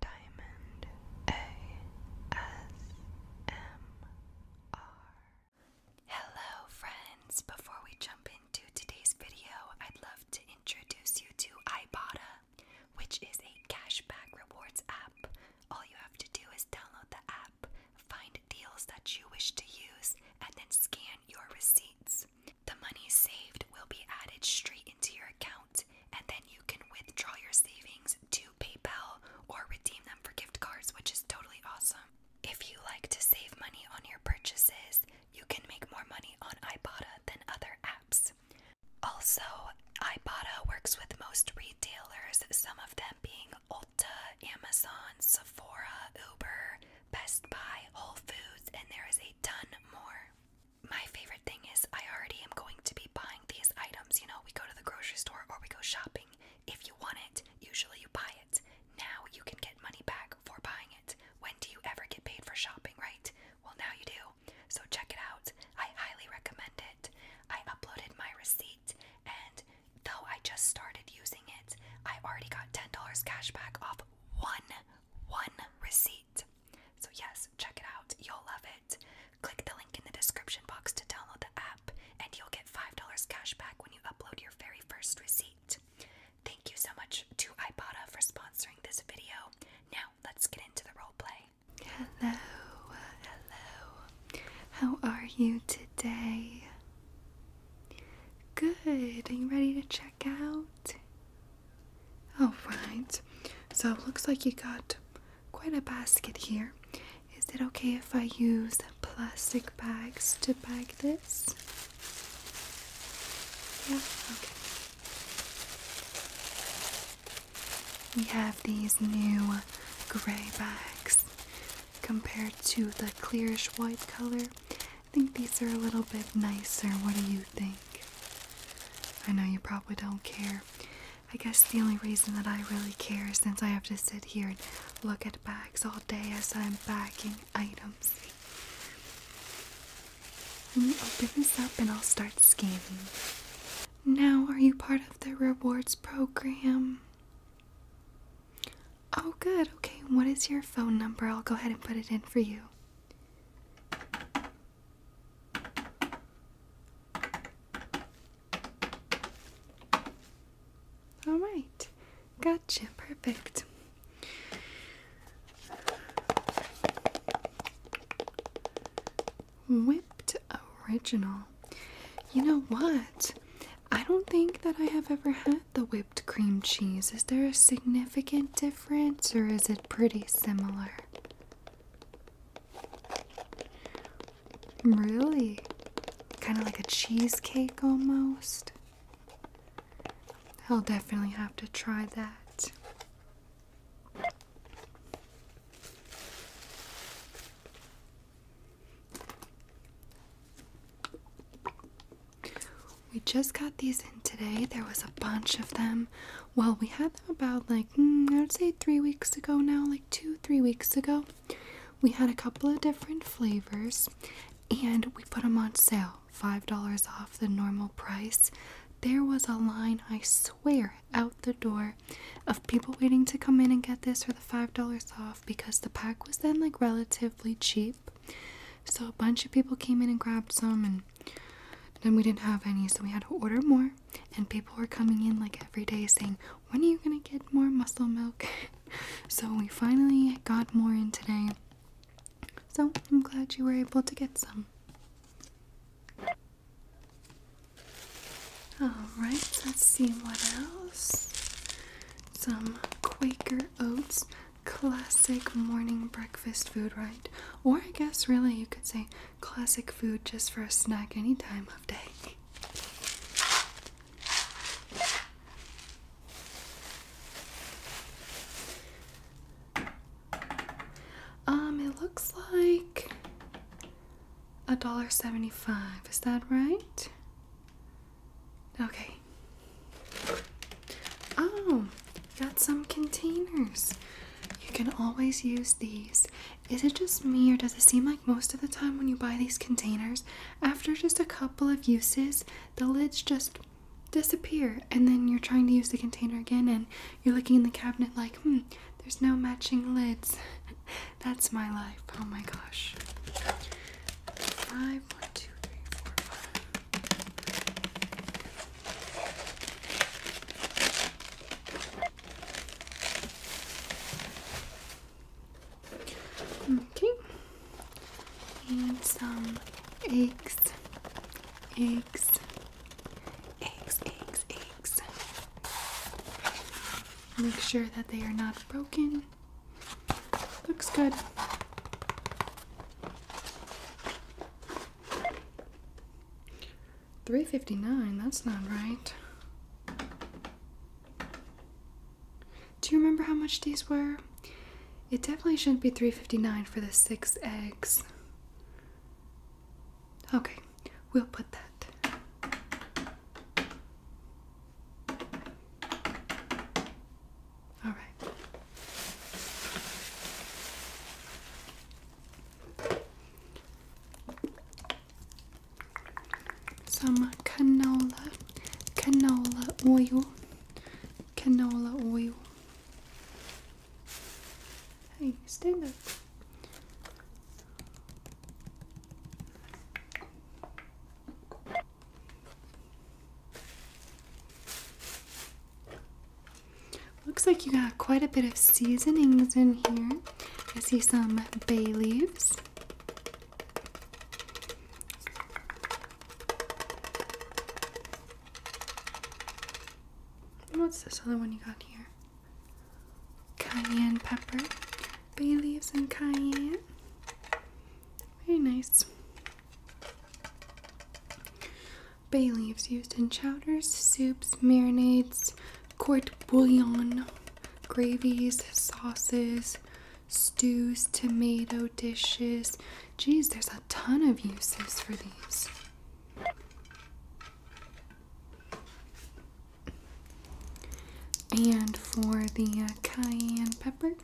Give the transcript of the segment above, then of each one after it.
Diamond ASMR. Hello, friends. Before we jump into today's video, I'd love to introduce you to Ibotta, which is a cashback rewards app. All you have to do is download the app, find deals that you wish to use, and then scan your receipts. The money saved will be added straight into your account, and then you can withdraw your savings to PayPal or redeem them for gift cards, which is totally awesome. If you like to save money on your purchases, you can make more money on Ibotta than other apps. Also, Ibotta works with most retailers, some of them being Ulta, Amazon, Sephora, Uber, Best Buy, Whole Foods, and there is a ton more my favorite thing is I already am going to be buying these items. You know, we go to the grocery store or we go shopping. If you want it, usually you buy it. Now you can get money back for buying it. When do you ever get paid for shopping, right? Well, now you do. So check it out. I highly recommend it. I uploaded my receipt, and though I just started using it, I already got $10 cash back off one one receipt. So, yes, check it out. You'll love it. Click the link in the description box to download the app, and you'll get $5 cash back when you upload your very first receipt. Thank you so much to Ibotta for sponsoring this video. Now, let's get into the roleplay. Hello, hello. How are you today? Good. Are you ready to check? out. Alright, so it looks like you got quite a basket here. Is it okay if I use plastic bags to bag this? Yeah, okay. We have these new gray bags compared to the clearish white color I think these are a little bit nicer. What do you think? I know you probably don't care. I guess the only reason that I really care is since I have to sit here and look at bags all day as I'm bagging items. Let me open this up and I'll start scanning. Now, are you part of the rewards program? Oh, good. Okay, what is your phone number? I'll go ahead and put it in for you. All right, gotcha, perfect. Whipped original. You know what? I don't think that I have ever had the whipped cream cheese, is there a significant difference or is it pretty similar? Really? Kind of like a cheesecake almost? I'll definitely have to try that. We just got these in today. There was a bunch of them. Well, we had them about like, mm, I would say three weeks ago now, like two, three weeks ago. We had a couple of different flavors and we put them on sale. $5 off the normal price. There was a line, I swear, out the door of people waiting to come in and get this for the $5 off because the pack was then like relatively cheap. So a bunch of people came in and grabbed some, and then we didn't have any, so we had to order more. And people were coming in like every day saying, When are you gonna get more muscle milk? so we finally got more in today. So I'm glad you were able to get some. Alright, let's see what else. Some Quaker oats, classic morning breakfast food, right? Or I guess really you could say classic food just for a snack anytime of day. Um, it looks like a dollar seventy-five. Is that right? Okay. Oh, got some containers. You can always use these. Is it just me, or does it seem like most of the time when you buy these containers, after just a couple of uses, the lids just disappear, and then you're trying to use the container again, and you're looking in the cabinet like, hmm, there's no matching lids. That's my life. Oh my gosh. Five, one, two, three, four, five. Okay. And some eggs. Eggs. Eggs, eggs, eggs. Make sure that they are not broken. Looks good. Three fifty nine, that's not right. Do you remember how much these were? It definitely shouldn't be three fifty nine for the six eggs. Okay, we'll put that. All right. Some canola, canola oil, canola oil. Hey, stand up. Looks like you got quite a bit of seasonings in here. I see some bay leaves. What's this other one you got here? cayenne pepper, bay leaves, and cayenne. Very nice. Bay leaves used in chowders, soups, marinades, court bouillon, gravies, sauces, stews, tomato dishes. Geez, there's a ton of uses for these. And for the uh, cayenne pepper,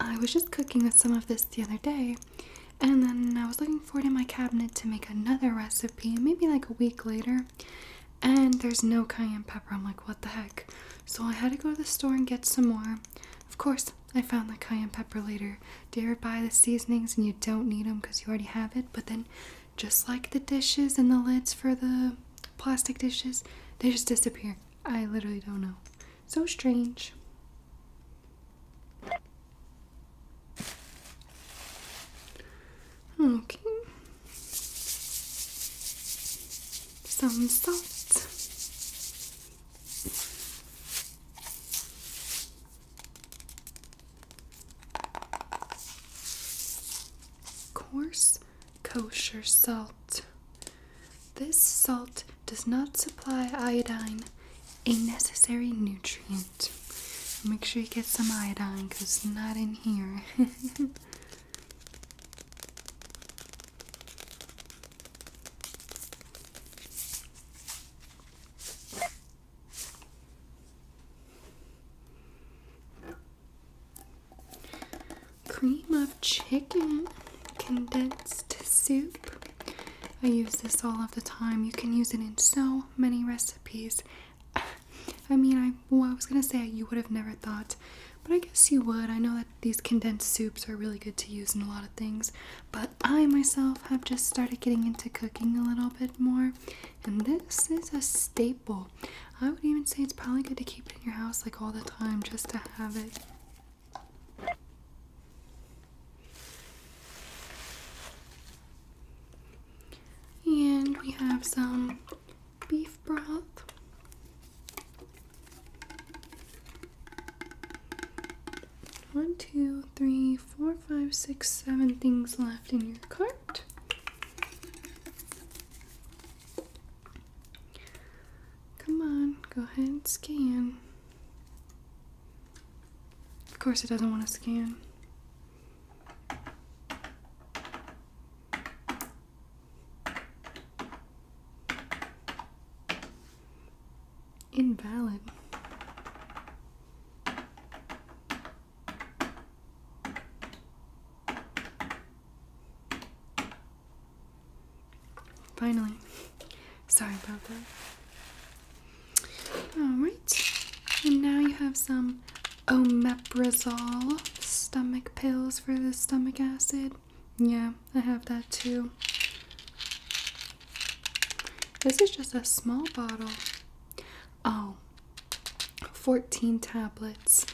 I was just cooking with some of this the other day, and then I was looking for it in my cabinet to make another recipe, maybe like a week later, and there's no cayenne pepper. I'm like, what the heck? So I had to go to the store and get some more. Of course, I found the cayenne pepper later, Dare you buy the seasonings and you don't need them because you already have it? But then, just like the dishes and the lids for the plastic dishes, they just disappear. I literally don't know. So strange. Okay. Some salt. Coarse kosher salt. This salt does not supply iodine, a necessary nutrient. Make sure you get some iodine because not in here. Cream of chicken condensed soup. I use this all of the time. You can use it in so many recipes. I mean, I, well, I was gonna say you would have never thought, but I guess you would. I know that these condensed soups are really good to use in a lot of things, but I myself have just started getting into cooking a little bit more, and this is a staple. I would even say it's probably good to keep in your house like all the time just to have it. And we have some beef broth one, two, three, four, five, six, seven things left in your cart. Come on, go ahead and scan. Of course, it doesn't want to scan. Invalid. Finally. Sorry about that. Alright. And now you have some omeprazole stomach pills for the stomach acid. Yeah, I have that too. This is just a small bottle. Oh, 14 tablets.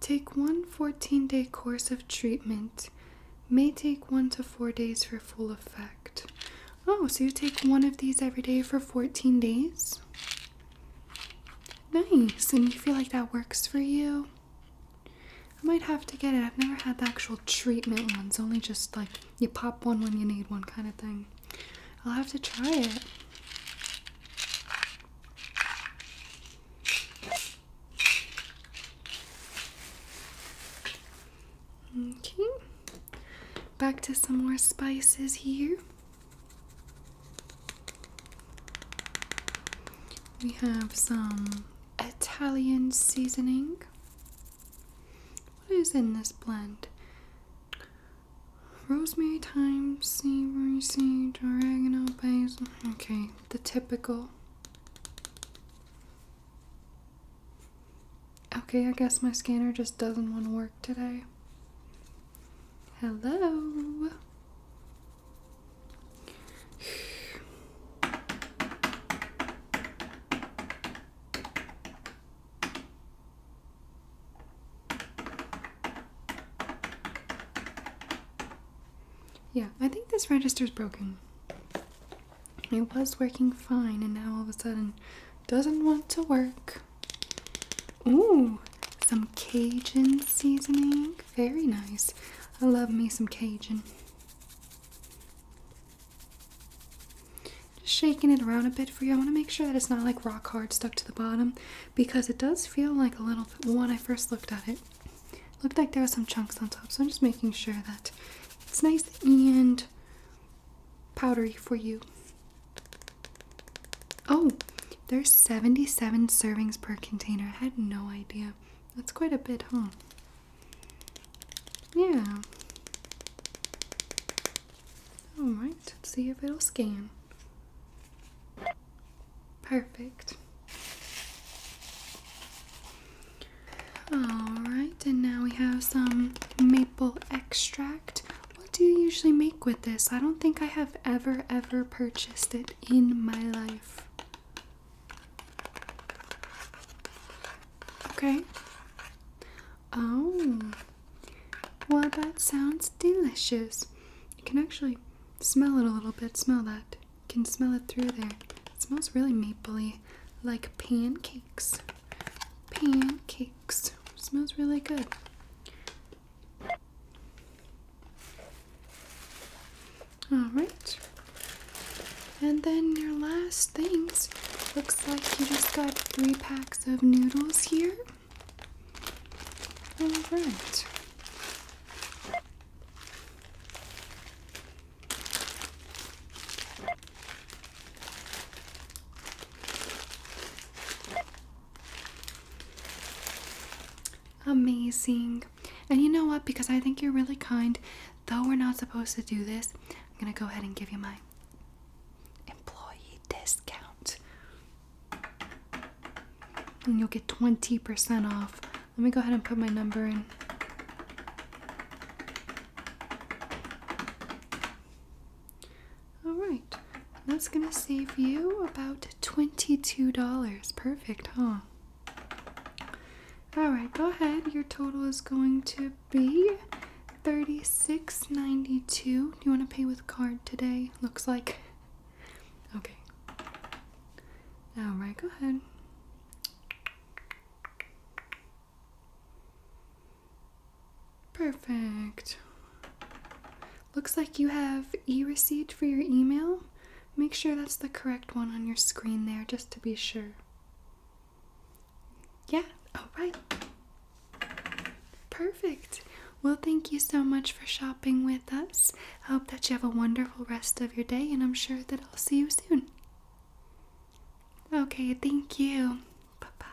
Take one 14 day course of treatment. May take one to four days for full effect. Oh, so you take one of these every day for 14 days? Nice. And you feel like that works for you? I might have to get it. I've never had the actual treatment ones, only just like you pop one when you need one kind of thing. I'll have to try it. Okay, back to some more spices here. We have some Italian seasoning. What is in this blend? Rosemary, thyme, savory sage, oregano, basil. Okay, the typical. Okay, I guess my scanner just doesn't want to work today. Hello. Yeah, I think this register's broken. It was working fine and now all of a sudden doesn't want to work. Ooh, some Cajun seasoning very nice. I love me some Cajun. Just shaking it around a bit for you. I want to make sure that it's not like rock hard stuck to the bottom because it does feel like a little bit when I first looked at it. Looked like there were some chunks on top, so I'm just making sure that it's nice and powdery for you. Oh, there's 77 servings per container. I had no idea. That's quite a bit, huh? Yeah. Alright, let's see if it'll scan. Perfect. Alright, and now we have some maple extract. What do you usually make with this? I don't think I have ever, ever purchased it in my life. Okay. Oh, well, that sounds delicious. You can actually smell it a little bit. Smell that. You can smell it through there. It smells really mapley, like pancakes. Pancakes. smells really good. All right. And then your last things. Looks like you just got three packs of noodles here. All right amazing. And you know what? Because I think you're really kind, though we're not supposed to do this, I'm going to go ahead and give you my employee discount. And you'll get 20% off. Let me go ahead and put my number in. All right, that's gonna save you about $22. Perfect, huh? All right, go ahead. Your total is going to be $36.92. Do you want to pay with card today? Looks like. Okay. All right, go ahead. Perfect. Looks like you have e receipt for your email. Make sure that's the correct one on your screen there just to be sure. Yeah, all right. Perfect. Well, thank you so much for shopping with us. I hope that you have a wonderful rest of your day, and I'm sure that I'll see you soon. Okay, thank you. Bye bye.